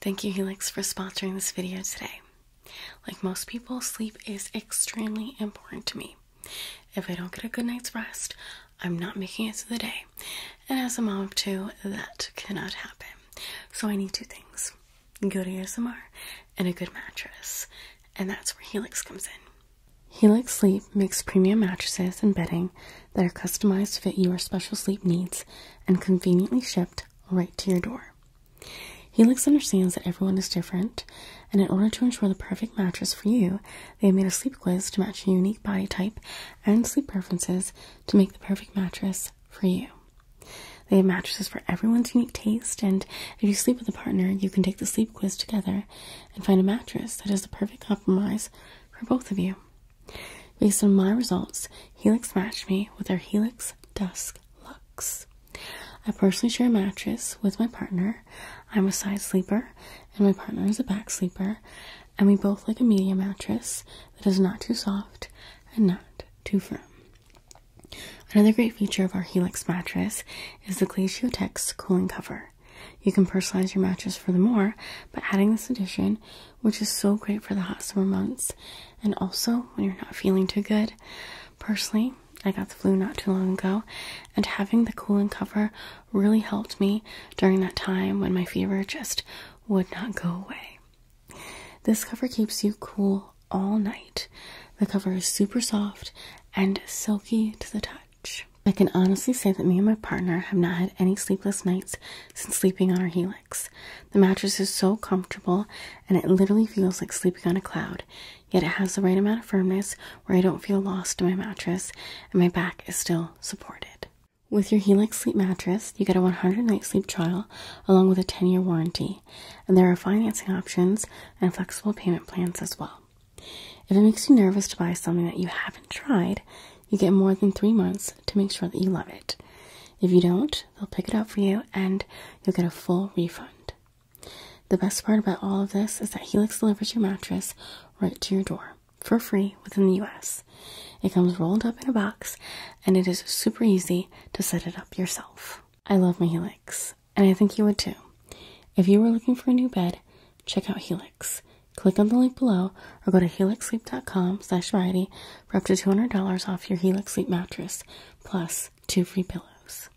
Thank you, Helix, for sponsoring this video today. Like most people, sleep is extremely important to me. If I don't get a good night's rest, I'm not making it to the day. And as a mom of two, that cannot happen. So I need two things good ASMR and a good mattress. And that's where Helix comes in. Helix Sleep makes premium mattresses and bedding that are customized to fit your special sleep needs and conveniently shipped right to your door. Helix understands that everyone is different, and in order to ensure the perfect mattress for you, they have made a sleep quiz to match your unique body type and sleep preferences to make the perfect mattress for you. They have mattresses for everyone's unique taste, and if you sleep with a partner, you can take the sleep quiz together and find a mattress that is the perfect compromise for both of you. Based on my results, Helix matched me with their Helix Dusk Lux. I personally share a mattress with my partner. I'm a side sleeper, and my partner is a back sleeper, and we both like a medium mattress that is not too soft and not too firm. Another great feature of our Helix mattress is the Glacio Tex cooling cover. You can personalize your mattress furthermore by adding this addition which is so great for the hot summer months and also when you're not feeling too good. Personally, I got the flu not too long ago, and having the cooling cover really helped me during that time when my fever just would not go away. This cover keeps you cool all night. The cover is super soft and silky to the touch. I can honestly say that me and my partner have not had any sleepless nights since sleeping on our Helix. The mattress is so comfortable and it literally feels like sleeping on a cloud, yet it has the right amount of firmness where I don't feel lost in my mattress and my back is still supported. With your Helix sleep mattress, you get a 100 night sleep trial along with a 10 year warranty, and there are financing options and flexible payment plans as well. If it makes you nervous to buy something that you haven't tried, you get more than three months to make sure that you love it. If you don't, they'll pick it up for you, and you'll get a full refund. The best part about all of this is that Helix delivers your mattress right to your door for free within the US. It comes rolled up in a box and it is super easy to set it up yourself. I love my Helix, and I think you would too. If you were looking for a new bed, check out Helix. Click on the link below or go to helixsleep.com slash for up to $200 off your Helix Sleep Mattress, plus two free pillows.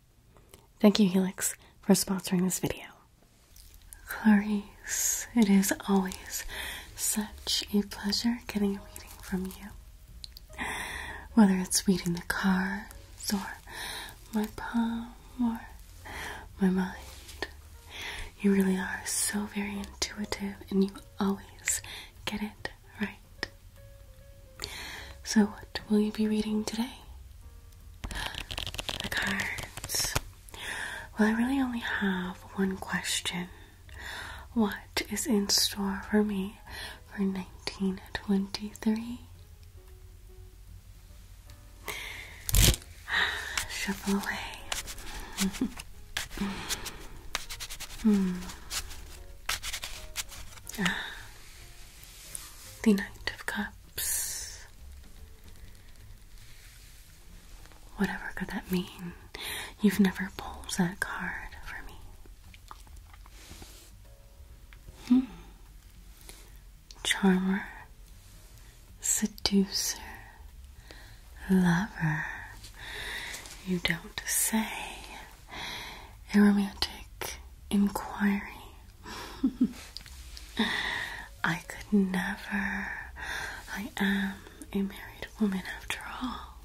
Thank you, Helix, for sponsoring this video. Clarice, it is always such a pleasure getting a reading from you. Whether it's reading the cards, or my palm, or my mind, you really are so very intuitive and you always get it right. So, what will you be reading today? The cards. Well, I really only have one question. What is in store for me for 1923? Shuffle away. The Knight of Cups. Whatever could that mean? You've never pulled that card for me. Hmm. Charmer, seducer, lover. You don't say. A romantic inquiry. I could never. I am a married woman after all.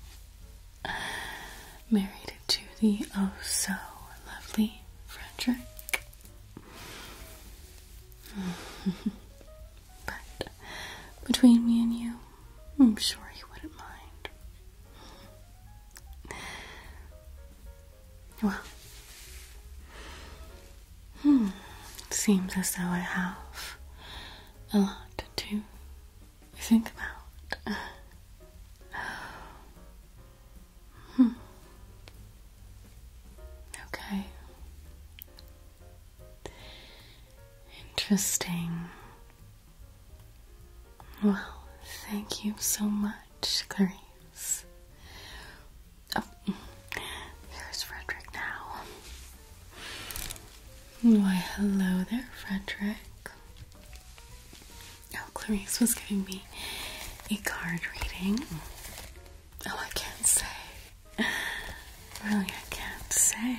Married to the oh so lovely Frederick. but between me and you, I'm sure he wouldn't mind. Well, hmm, it seems as though I have a lot to think about. Hmm. Okay. Interesting. Well, thank you so much, Clarice. Oh, there's Frederick now. Why, hello there, Frederick. Oh, Clarice was giving me a card reading. Oh, I can't say. Really, I can't say.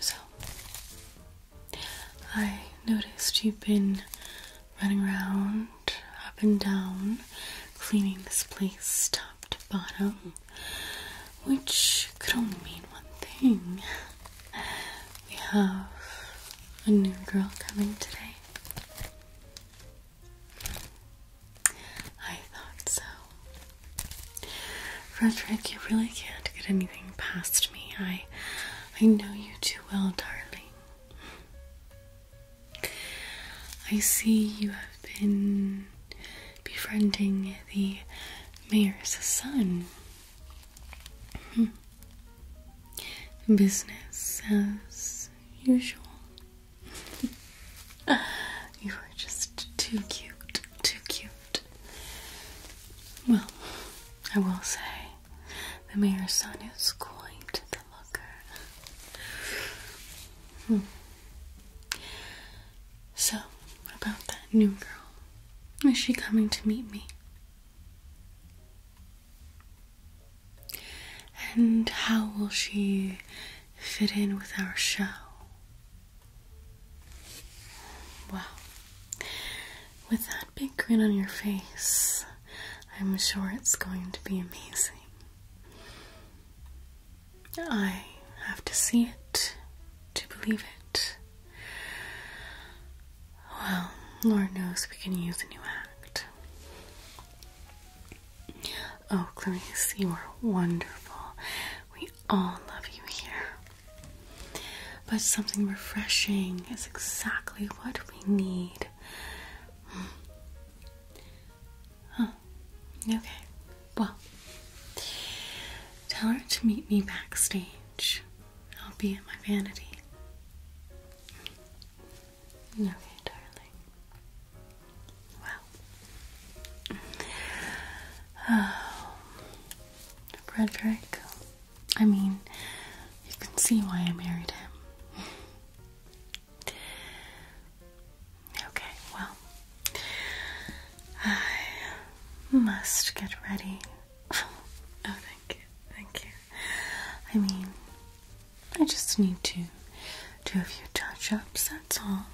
So, I noticed you've been running around up and down, cleaning this place top to bottom, which could only mean one thing. We have a new girl coming today. I thought so. Frederick, you really can't get anything past me. I I know you too well, darling. I see you have been befriending the mayor's son. Hmm. Business as usual. you are just too cute, too cute. Well, I will say the mayor's son is quite the looker. Hmm. So, about that new girl, is she coming to meet me? And how will she fit in with our show. Wow. With that big grin on your face, I'm sure it's going to be amazing. I have to see it to believe it. Well, Lord knows we can use a new act. Oh, Clarice, you are wonderful. We all love you here. But something refreshing is exactly what we need. Hmm. Oh, okay. Well, tell her to meet me backstage. I'll be at my vanity. Okay, darling. Wow. Frederick. I mean, you can see why I married him. okay, well, I must get ready. oh, thank you, thank you. I mean, I just need to do a few touch ups, that's all.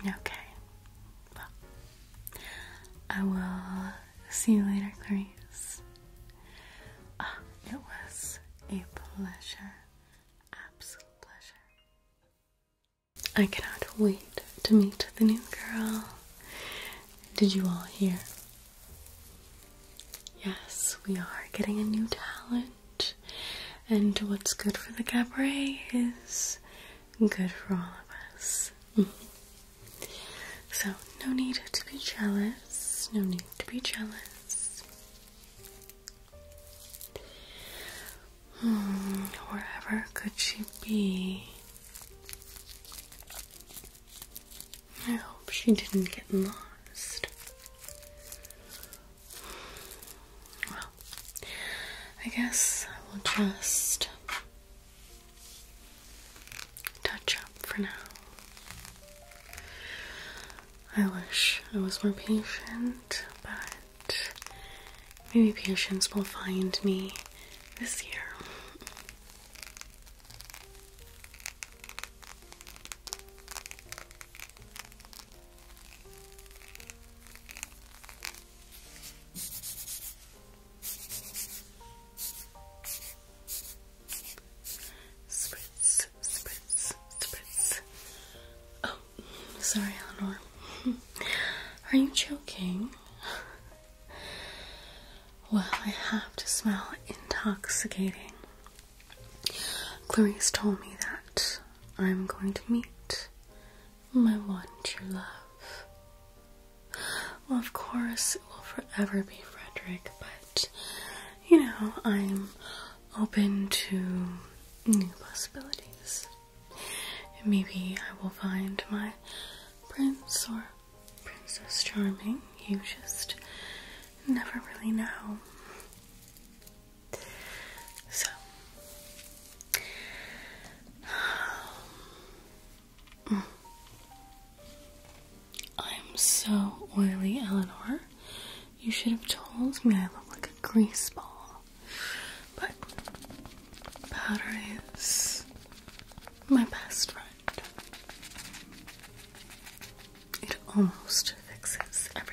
Okay. Well, I will see you later, Grace. Ah, it was a pleasure. Absolute pleasure. I cannot wait to meet the new girl. Did you all hear? Yes, we are getting a new talent, and what's good for the cabaret is good for all of us. So, no need to be jealous, no need to be jealous. Hmm, wherever could she be? I hope she didn't get lost. Well, I guess I will just touch up for now. I wish I was more patient, but maybe patience will find me this year. Spritz, spritz, spritz. Oh, sorry, Eleanor. Are you joking? Well, I have to smell intoxicating. Clarice told me that I'm going to meet my one true love. of course, it will forever be Frederick, but you know, I'm open to new possibilities. maybe I will find my prince or princess charming. You just never really know. So, um, I'm so oily, Eleanor. You should have told me I look like a grease ball. But powder is my best friend. It almost fixes everything.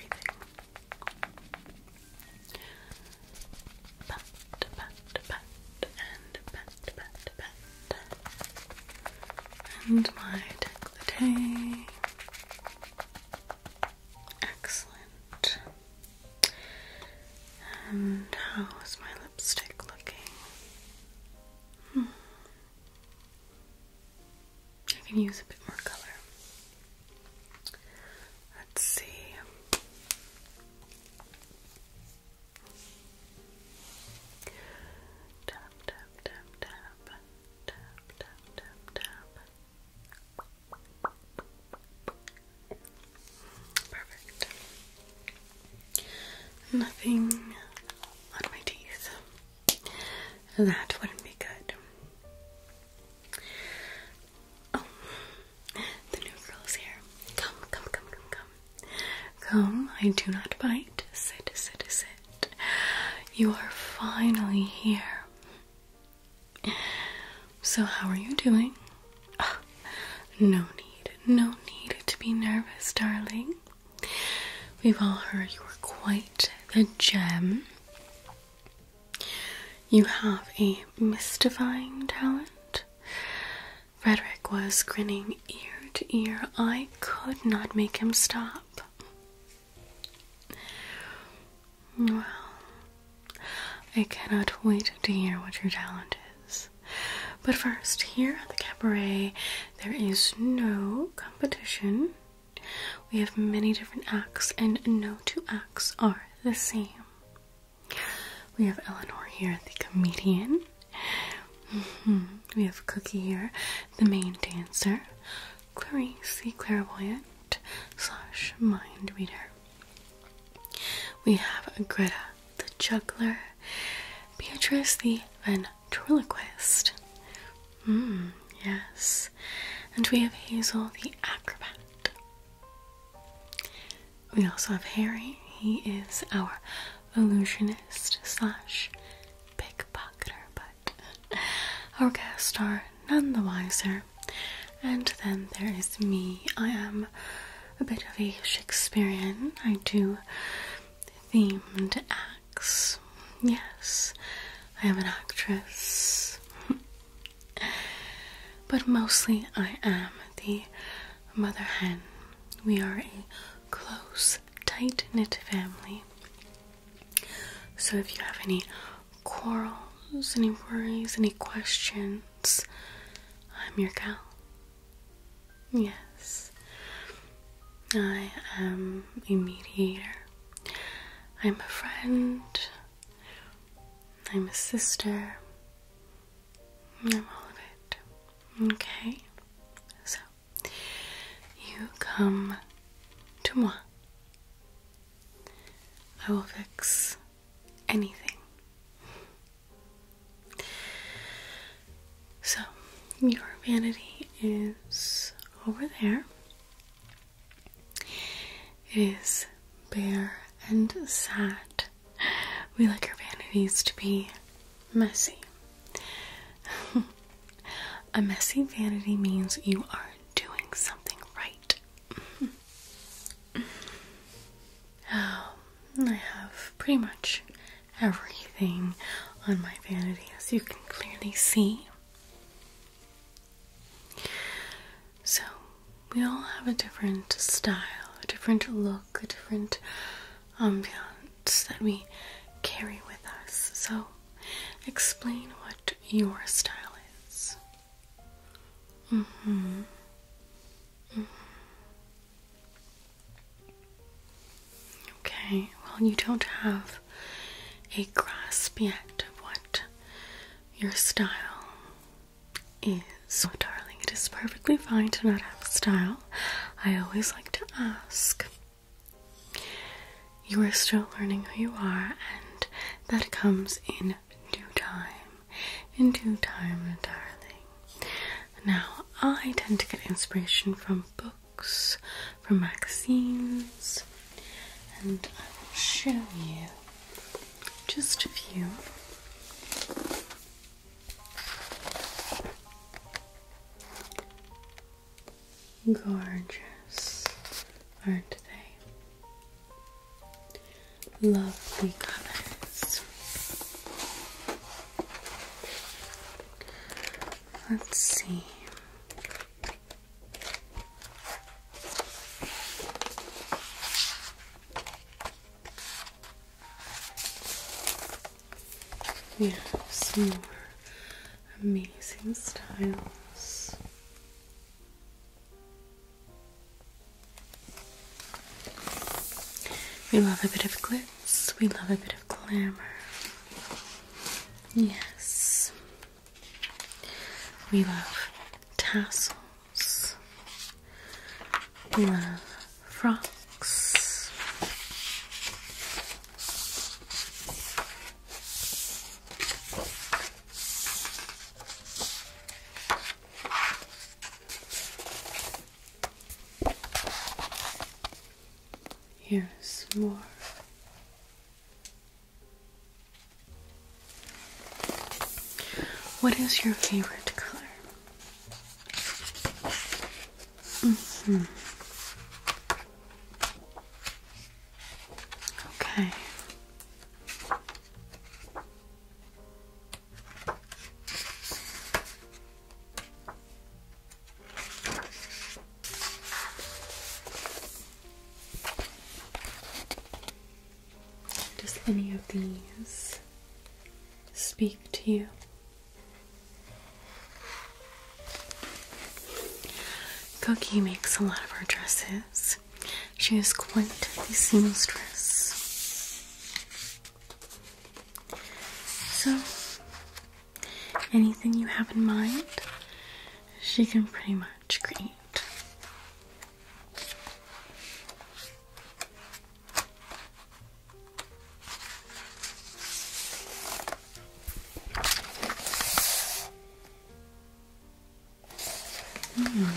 and my decollete. Excellent. And how is my lipstick looking? Hmm. I can use a bit more color. Let's see. Tap, tap, tap, tap, tap, tap, tap, Perfect. Nothing on my teeth. That wouldn't be good. Oh, the new girl's here. Come, come, come, come, come. Come, I do not bite. Sit, sit, sit. You are finally here. So, how are you doing? Ah, no need, no need to be nervous, darling. We've all heard you were quite the gem. You have a mystifying talent. Frederick was grinning ear to ear. I could not make him stop. Well, I cannot wait to hear what your talent is. But first, here at the cabaret, there is no competition. We have many different acts, and no two acts are the same. We have Eleanor here, the comedian. Mm-hmm. We have Cookie here, the main dancer. Clarice, the clairvoyant slash mind reader. We have Greta, the juggler. Beatrice, the ventriloquist. Hmm, yes. And we have Hazel the acrobat. We also have Harry. He is our illusionist slash pickpocketer, but our guests are none the wiser. And then there is me. I am a bit of a Shakespearean. I do themed Yes, I am an actress. but mostly I am the mother hen. We are a close, tight knit family. So if you have any quarrels, any worries, any questions, I'm your gal. Yes. I am a mediator. I'm a friend. I'm a sister. I'm all of it. Okay? So, you come to moi. I will fix anything. So, your vanity is over there. It is bare and sad. We like our vanities to be messy. A messy vanity means you are doing something right. Um, I have pretty much everything on my vanity, as you can clearly see. So, we all have a different style, a different look, a different ambiance that we carry with us. So, explain what your style is. Mm hmm. Okay, well, you don't have a grasp yet of what your style is. So, oh, darling, it is perfectly fine to not have a style. I always like to ask. You are still learning who you are, and that comes in due time. In due time, darling. Now, I tend to get inspiration from books books, from magazines, and I will show you just a few. Gorgeous, aren't they? Lovely colors. Let's see. We have some more amazing styles. We love a bit of glitz, we love a bit of glamour. Yes. We love tassels. We love frocks. Here's more what is your favorite color? Mm-hmm. Okay. Does any of these speak to you? Cookie makes a lot of our dresses. She is quite the seamstress. So, anything you have in mind, she can pretty much to hmm.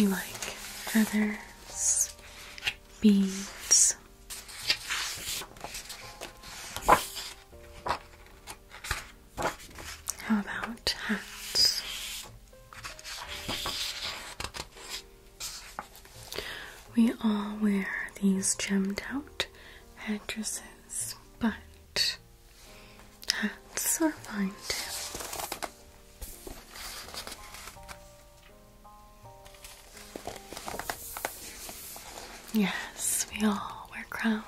You like feathers, beads. How about hats? We all wear these gemmed out head but hats are fine too. Yes, we all wear crowns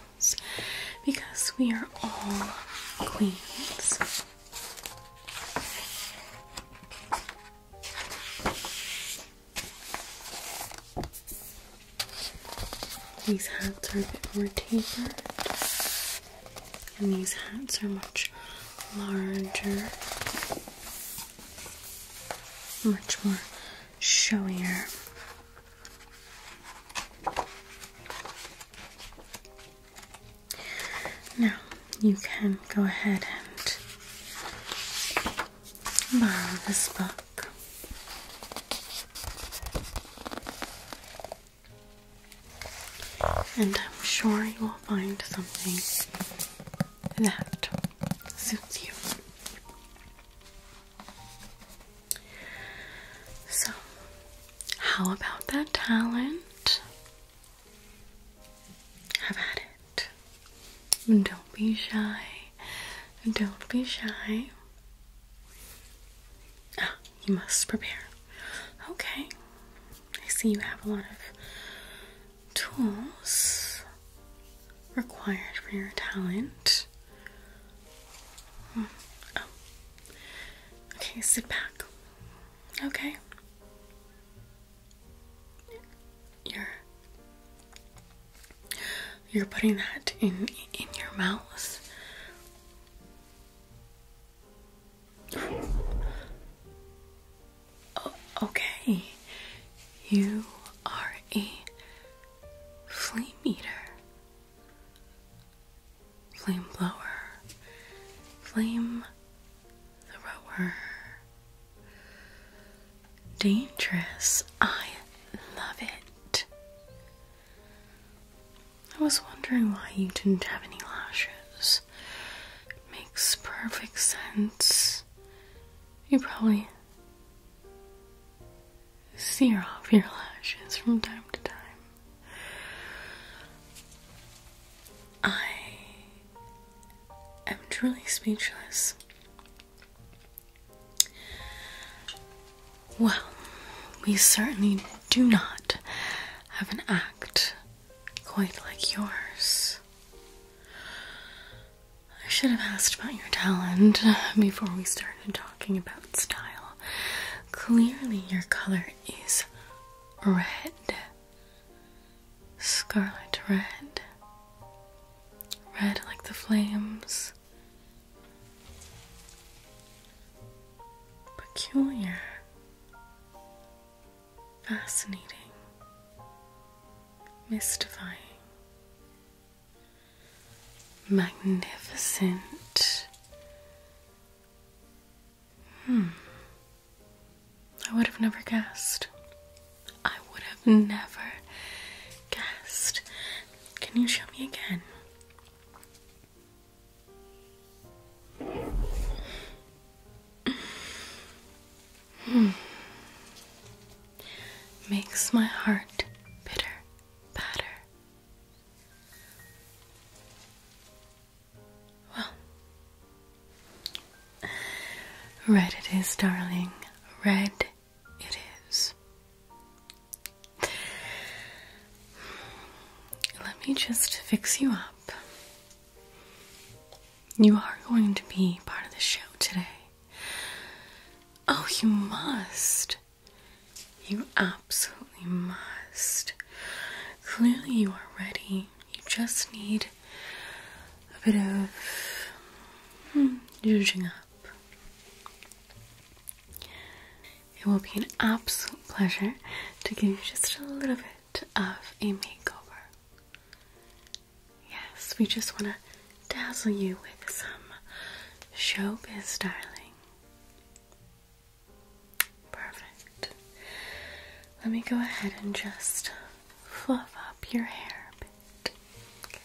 because we are all queens. These hats are a bit more tapered, and these hats are much larger, much more showier. Now you can go ahead and borrow this book. And I'm sure you will find something that suits you. So, how about that talent? Have at it. Don't be shy. Don't be shy. Ah, you must prepare. Okay. I see you have a lot of tools required for your talent. Hmm. Oh. Okay, sit back. Okay. You're You're putting that in in your mouth. Oh, okay. You are a flame eater flame blower, flame thrower. Dangerous. I love it. I was wondering why you didn't have any lashes. makes perfect sense. You probably sear off your lashes from time to time. I am truly speechless. Well, we certainly do not have an act quite like yours. I should have asked about your talent before we started talking about style, clearly your color is red. Scarlet red. Red like the flames. Peculiar. Fascinating. Mystifying magnificent. Hmm. I would have never guessed. I would have never guessed. Can you show me again? Hmm. Makes my heart bitter, batter, well, red it is, darling. Red it is. Let me just fix you up. You are going to be part of the show today. Oh, you must. You absolutely must. Clearly, you are ready. You just need a bit of hmm, juicing up. It will be an absolute pleasure to give you just a little bit of a makeover. Yes, we just want to dazzle you with some showbiz styling. Perfect. Let me go ahead and just fluff up your hair a bit. Okay.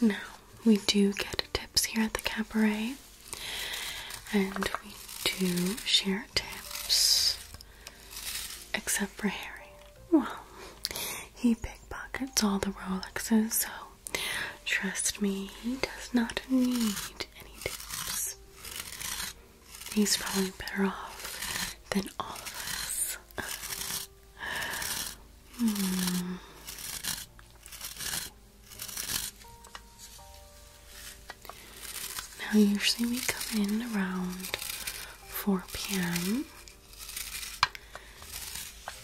Now, we do get tips here at the cabaret, and we do share tips. Except for Harry. Well, he pickpockets all the Rolexes, so trust me, he does not need any tips. He's probably better off than all of us. hmm. Now, usually we come in around 4 p.m.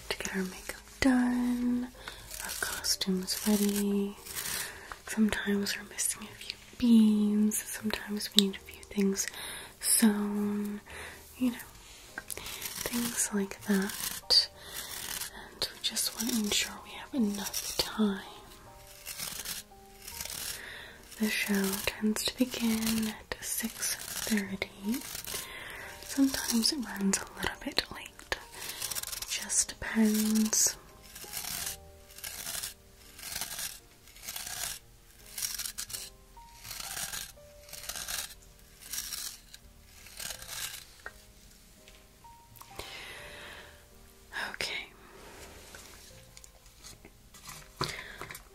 to get our makeup done, our costumes ready. Sometimes we're missing a few beans, sometimes we need a few things sewn, you know, things like that. And we just want to ensure we have enough time the show tends to begin at 6.30. Sometimes it runs a little bit late. It just depends. Okay.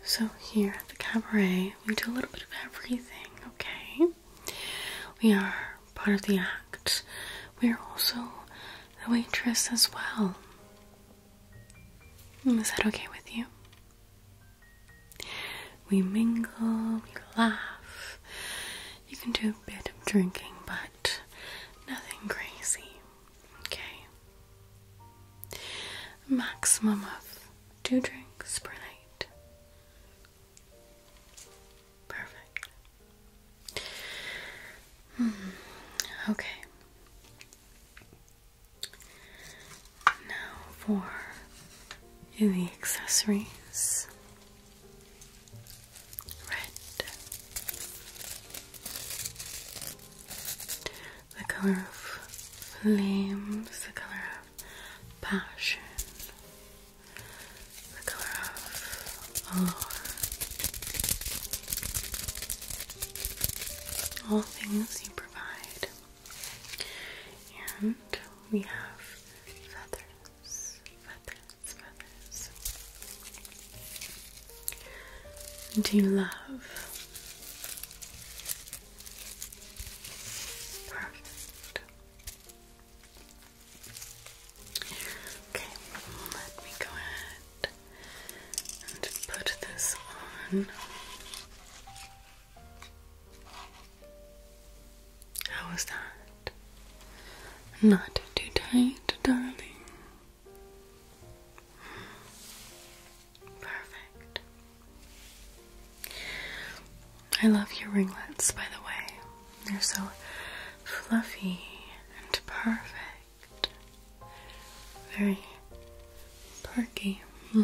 So, here at the cabaret, we do a little bit of everything, okay? We are part of the act, we are also the waitress as well. Mm, is that okay with you? We mingle, we laugh. You can do a bit of drinking, but nothing crazy. Okay. Maximum of two drinks per night. Perfect. Hmm, okay. Now for the accessories red, the color of flames, the color of passion, the color of awe, all things you provide. And we have feathers, feathers, let Do you love? Perfect. Okay, let me go ahead and put this on. How was that? Not too tight, darling. Perfect. I love your ringlets, by the way. They're so fluffy and perfect. Very perky.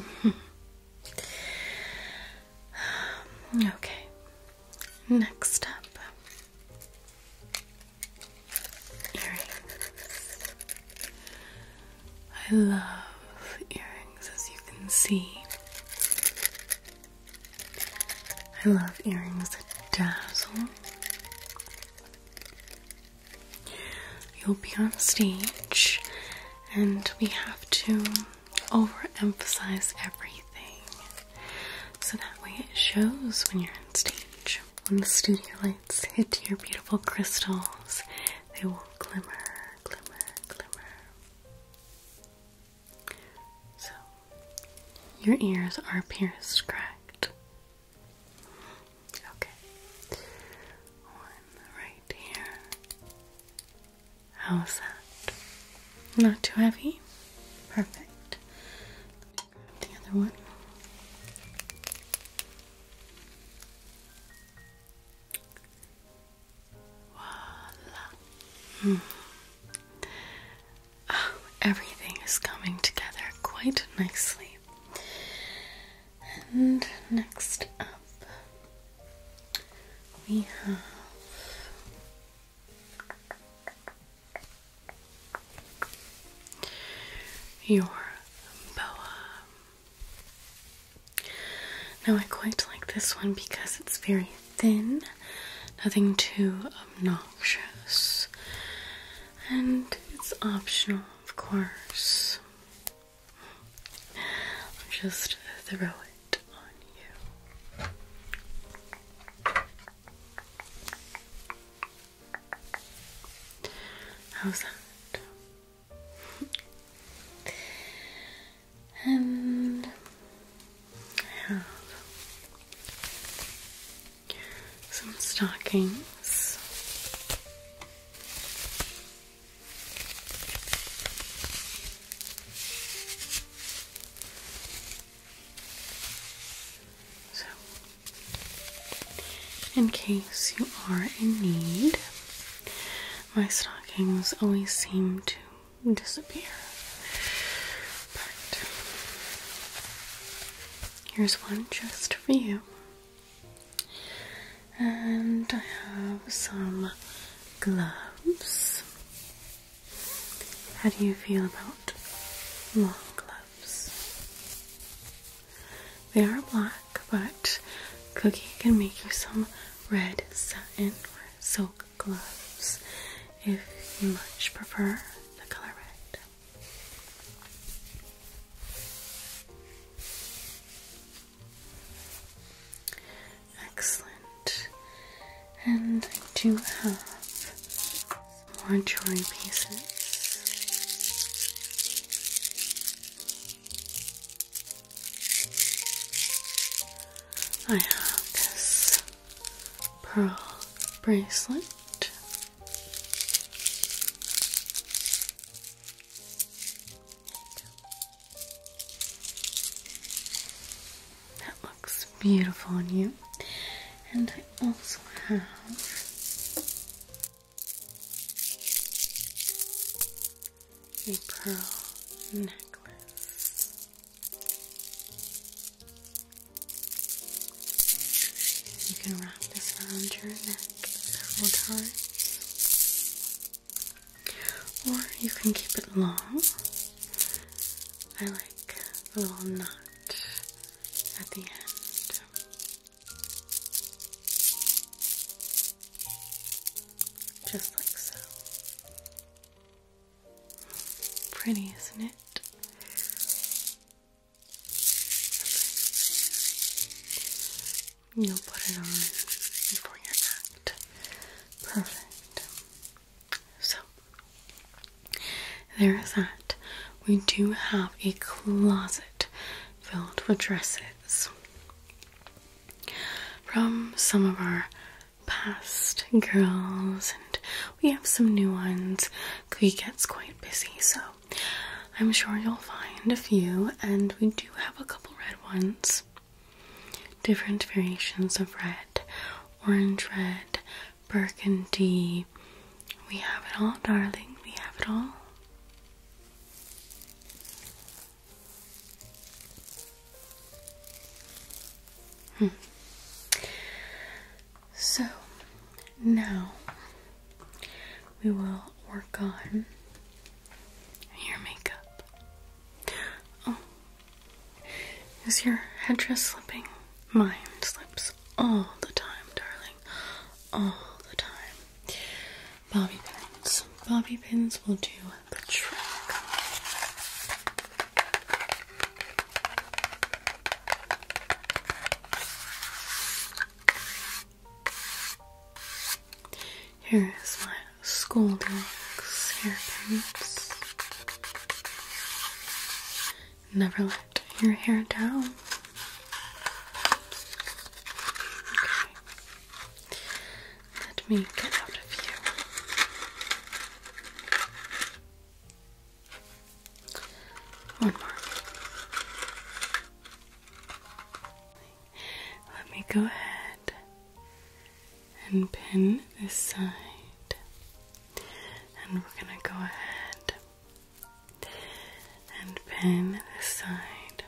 okay, next up earrings. I love earrings, as you can see. I love earrings that dazzle. You'll be on stage, and we have to overemphasize everything so that way it shows when you're on stage. When the studio lights hit your beautiful crystals, they will glimmer, glimmer, glimmer. So, your ears are pierced, correct? Okay. One right here. How's that? Not too heavy? Perfect the other one. Voila. Hmm. Oh, everything is coming together quite nicely. And next up, we have your boa. Now, I quite like this one because it's very thin, nothing too obnoxious, and it's optional, of course. I'll just throw it on you. How's that? and I have some stockings in case you are in need, my stockings always seem to disappear. But here's one just for you. And I have some gloves. How do you feel about long gloves? They are black, but Cookie can make you some red satin or silk gloves if you much prefer the color red. Excellent. And I do have more jewelry pieces. I have this pearl bracelet looks beautiful on you. And I also have a pearl necklace. You can wrap this around your neck several times, or you can keep it long. I like a little knot at the end. Just like so. Pretty, isn't it? You'll put it on before your act. Perfect. So, there is that. We do have a closet filled with dresses from some of our past girls, and we have some new ones. We gets quite busy, so I'm sure you'll find a few, and we do have a couple red ones. Different variations of red, orange red, burgundy. We have it all, darling. We have it all. Hmm. So now we will work on your makeup. Oh, is your headdress slipping? Mine slips all the time, darling. All the time. Bobby pins. Bobby pins will do the trick. Here is my Scoldings hairpins. Never let your hair down. Let me get out of here. One more. Let me go ahead and pin this side, and we're going to go ahead and pin this side.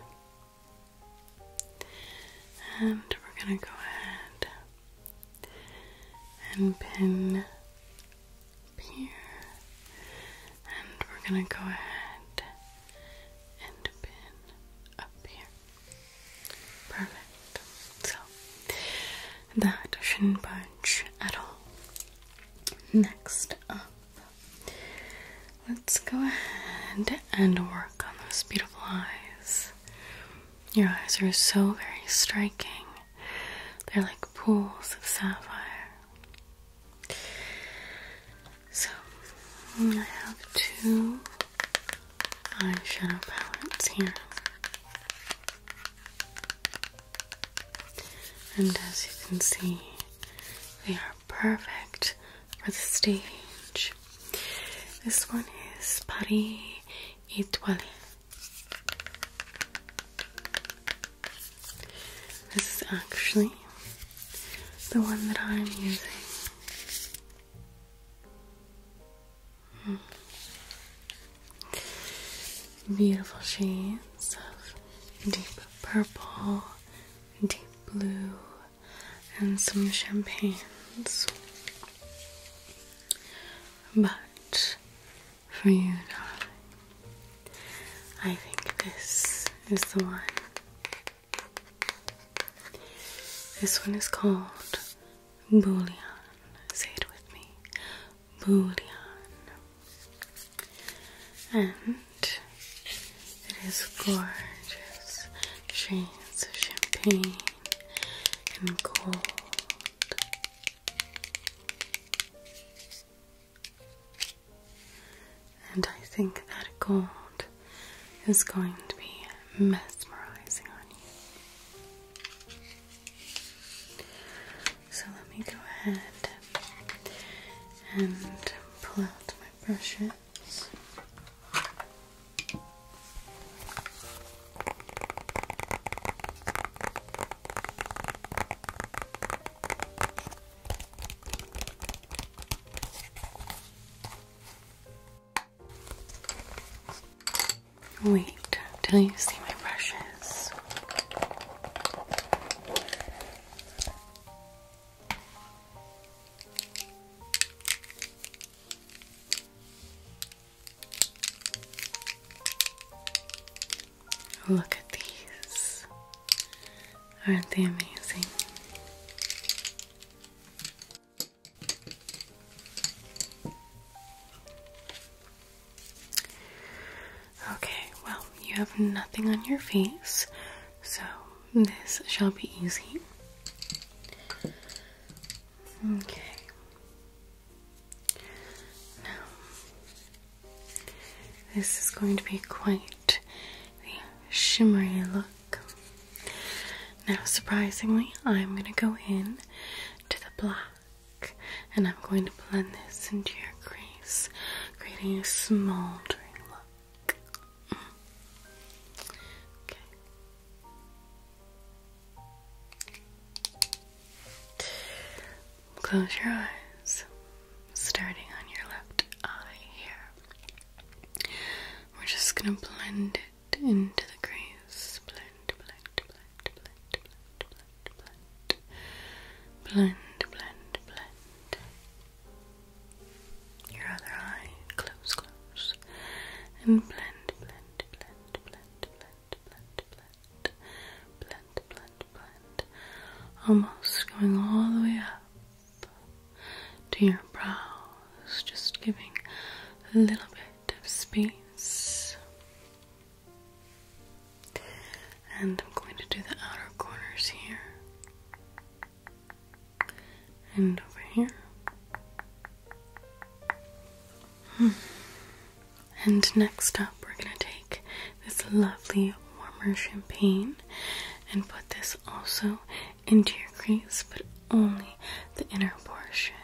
And we're going to go ahead and pin up here. And we're going to go ahead and pin up here. Perfect. So that shouldn't budge at all. Next up, let's go ahead and work on those beautiful eyes. Your eyes are so very striking, they're like pools of sapphire. So, I have two eyeshadow palettes here. And as you can see, they are perfect for the stage. This one is Paris Etoile. This is actually the one that I'm using. Hmm. Beautiful shades of deep purple, deep blue, and some champagnes. But for you, darling, I think this is the one. This one is called Bouillon. Say it with me bouillon. And it is gorgeous shades of champagne and gold. And I think that gold is going to be mesmerizing on you. So let me go ahead and pull out my brushes. Wait till you see my brushes. Look at these. Aren't they amazing? Okay, well, you have nothing on your face, so this shall be easy. Okay. Now, this is going to be quite the shimmery look. Now, surprisingly, I'm going to go in to the black and I'm going to blend this into your crease, creating a smoldering look. Mm. Okay. Close your eyes, starting on your left eye here. We're just going to blend it into the crease. Blend, blend, blend, blend, blend, blend blend, blend, blend, blend. Your other eye, close, close, and blend, blend, blend, blend, blend, blend, blend, blend, blend, blend. Almost going all the way up to your brows, just giving a little bit of space. And I'm going to do the outer corners here and over here. Hmm. And next up, we're going to take this lovely warmer champagne and put this also into your crease, but only the inner portion,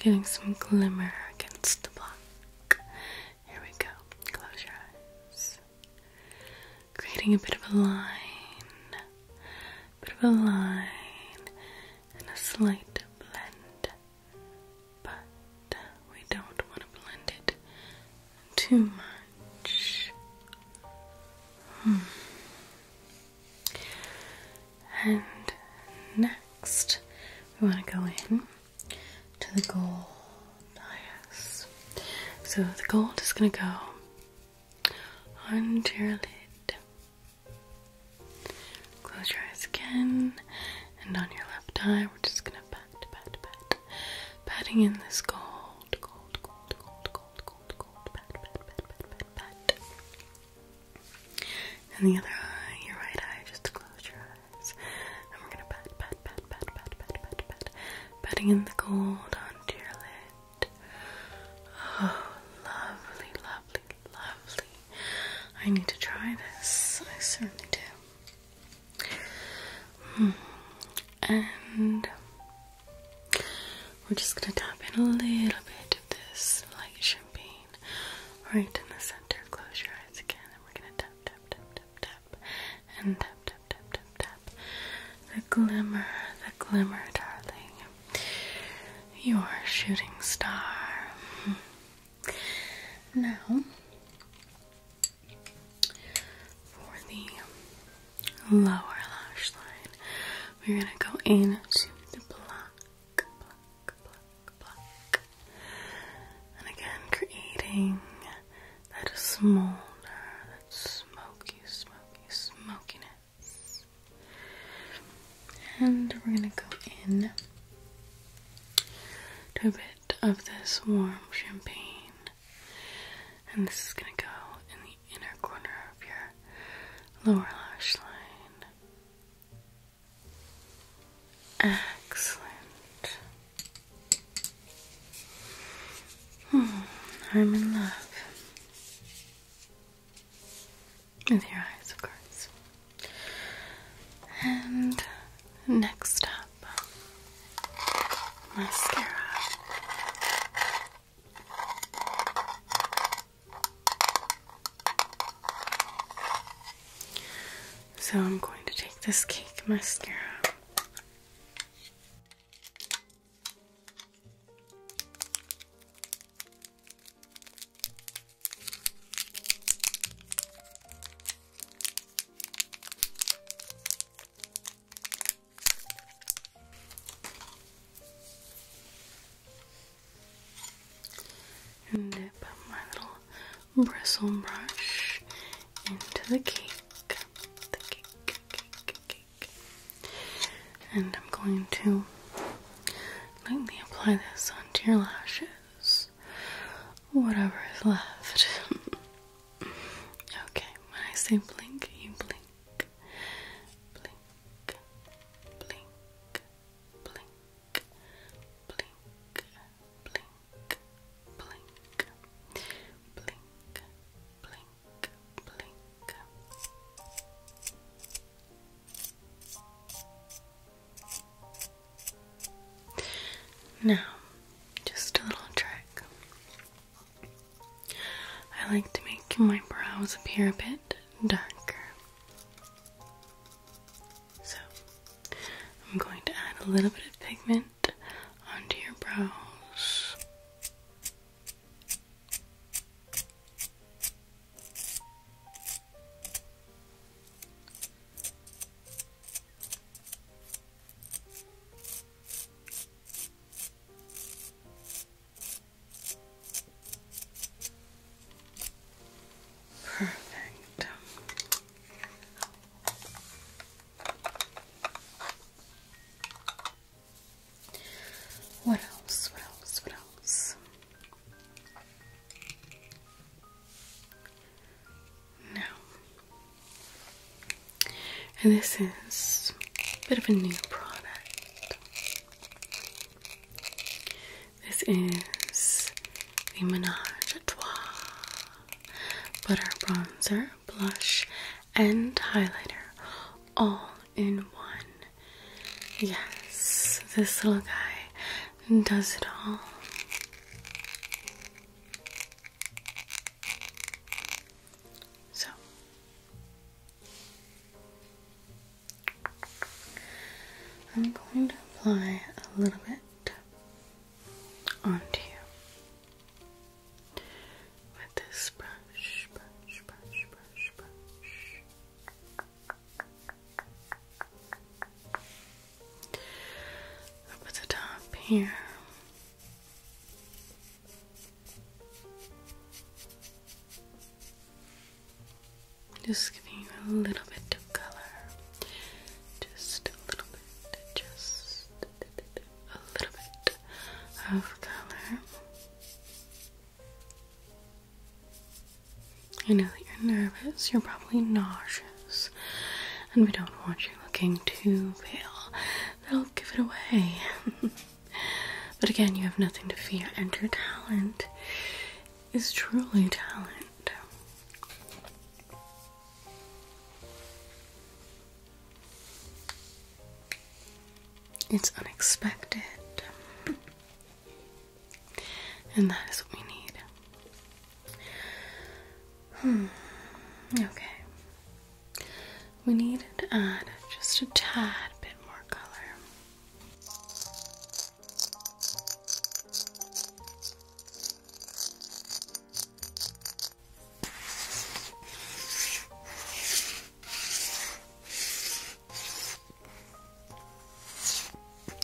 giving some glimmer against the black. Here we go. Close your eyes. Creating a bit of a line, bit of a line, and a slight blend. But we don't want to blend it too much. Hmm. And next, we want to go in to the gold. yes. So the gold is going to go under your lid. Close your eyes again, and on your left eye, we're just going to pat, pat, pat, patting in this gold, gold, gold, gold, gold, gold, gold, pat, pat, pat, pat, pat, pat. And the other eye, your right eye, just close your eyes. And we're gonna pat, pat, pat, pat, pat, pat, pat, pat. Patting in the gold onto your lid. Oh, lovely, lovely, lovely. I need to try this. I certainly do. Hmm. And we're just gonna tap in a little bit of this light champagne right in the center. Close your eyes again, and we're gonna tap, tap, tap, tap, tap and tap tap tap tap tap. The glimmer, the glimmer, darling. Your shooting star. Now, for the lower lash line, we're gonna go into the black, black, and again, creating that smolder, that smoky, smoky, smokiness. And we're gonna go in to a bit of this warm champagne. And this is gonna go in the inner corner of your lower lash line. Excellent. Hmm, I'm in love. With your eyes, of course. And next up, mascara. So I'm going to take this cake mascara. And dip my little bristle brush into the cake. And I'm going to lightly apply this onto your lashes. Whatever is left. okay, when I say blink, you blink. Blink, blink, blink, blink, blink. Now, just a little trick. I like to make my brows appear a bit darker. So, I'm going to add a little bit of pigment it onto your brows. Perfect. What else? What else? What else? Now, and this is a bit of a new product. This is the Menage a Trois but our bronzer, blush, and highlighter all in one. Yes, this little guy does it all. So, I'm going to apply a little bit onto you with this brush, brush, the top here. Just giving you a little bit of color. Just a little bit just a little bit of color. I know that you're nervous, you're probably nauseous, and we don't want you looking too pale. That'll give it away. but again, you have nothing to fear, and your talent is truly talent. It's unexpected. And that is what we need. Hmm. Okay. We need to add just a tad bit more color.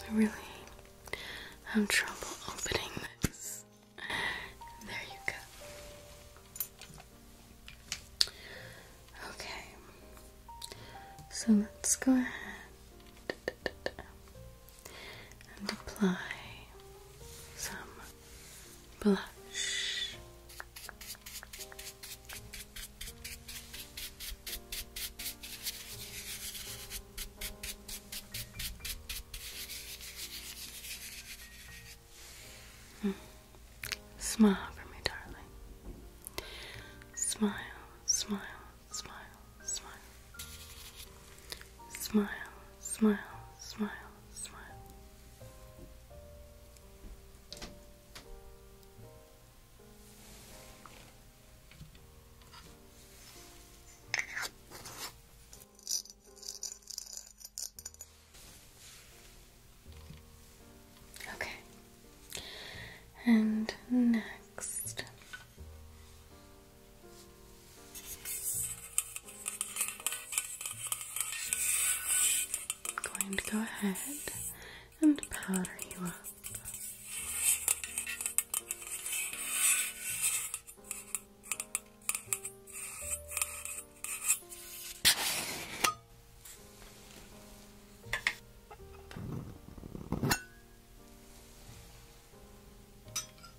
I am have trouble opening this. There you go. Okay, so let's go ahead and apply some blush. Hmm. Smile for me, darling. Smile, smile, smile, smile. Smile, smile, smile, smile. Okay. And next, I'm going to go ahead and powder you up.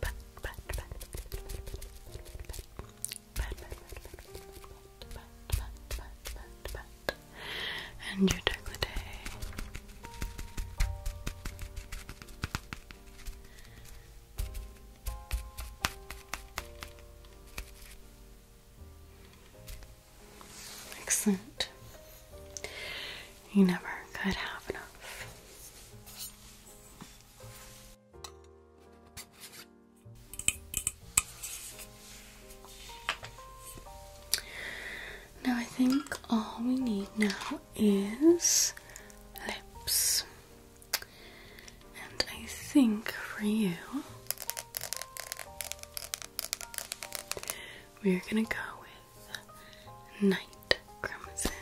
pat, pat, pat, pat, pat, Excellent. You never could have enough. Now, I think all we need now is lips, and I think for you, we're gonna go with night crimson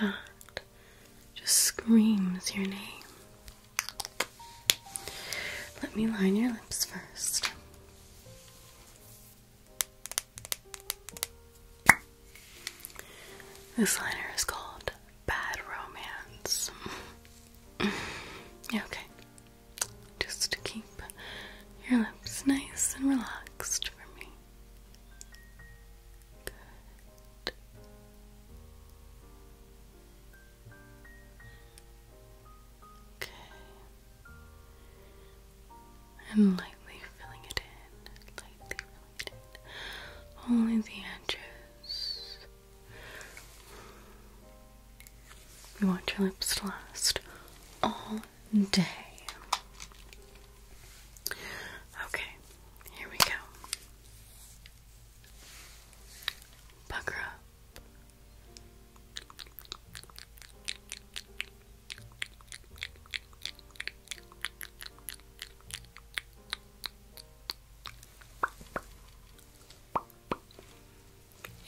that just screams your name. Let me line your lips first. This liner is called Bad Romance. okay, just to keep your lips nice and relaxed for me. Okay. And lightly filling it in, lightly filling it in. Only the edges. We want your lips to last all day. Okay, here we go. Pucker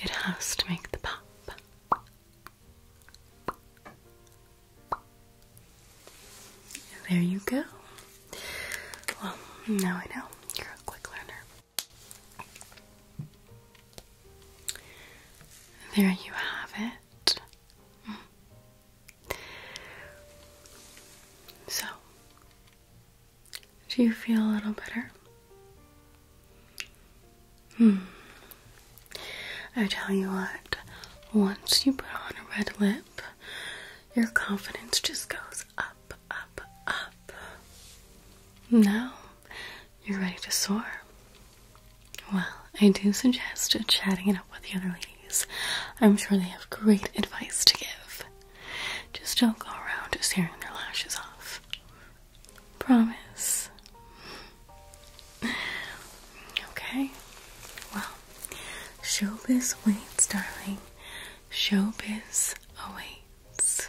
It has to make the pop. There you go. Well, now I know you're a quick learner. There you have it. So, do you feel a little better? Hmm. I tell you what, once you put on a red lip, your confidence just goes up, up, up. Now you're ready to soar. Well, I do suggest chatting it up with the other ladies. I'm sure they have great advice to give. Just don't go around tearing their lashes off. Promise. Okay. Well, showbiz waits, darling. Showbiz awaits.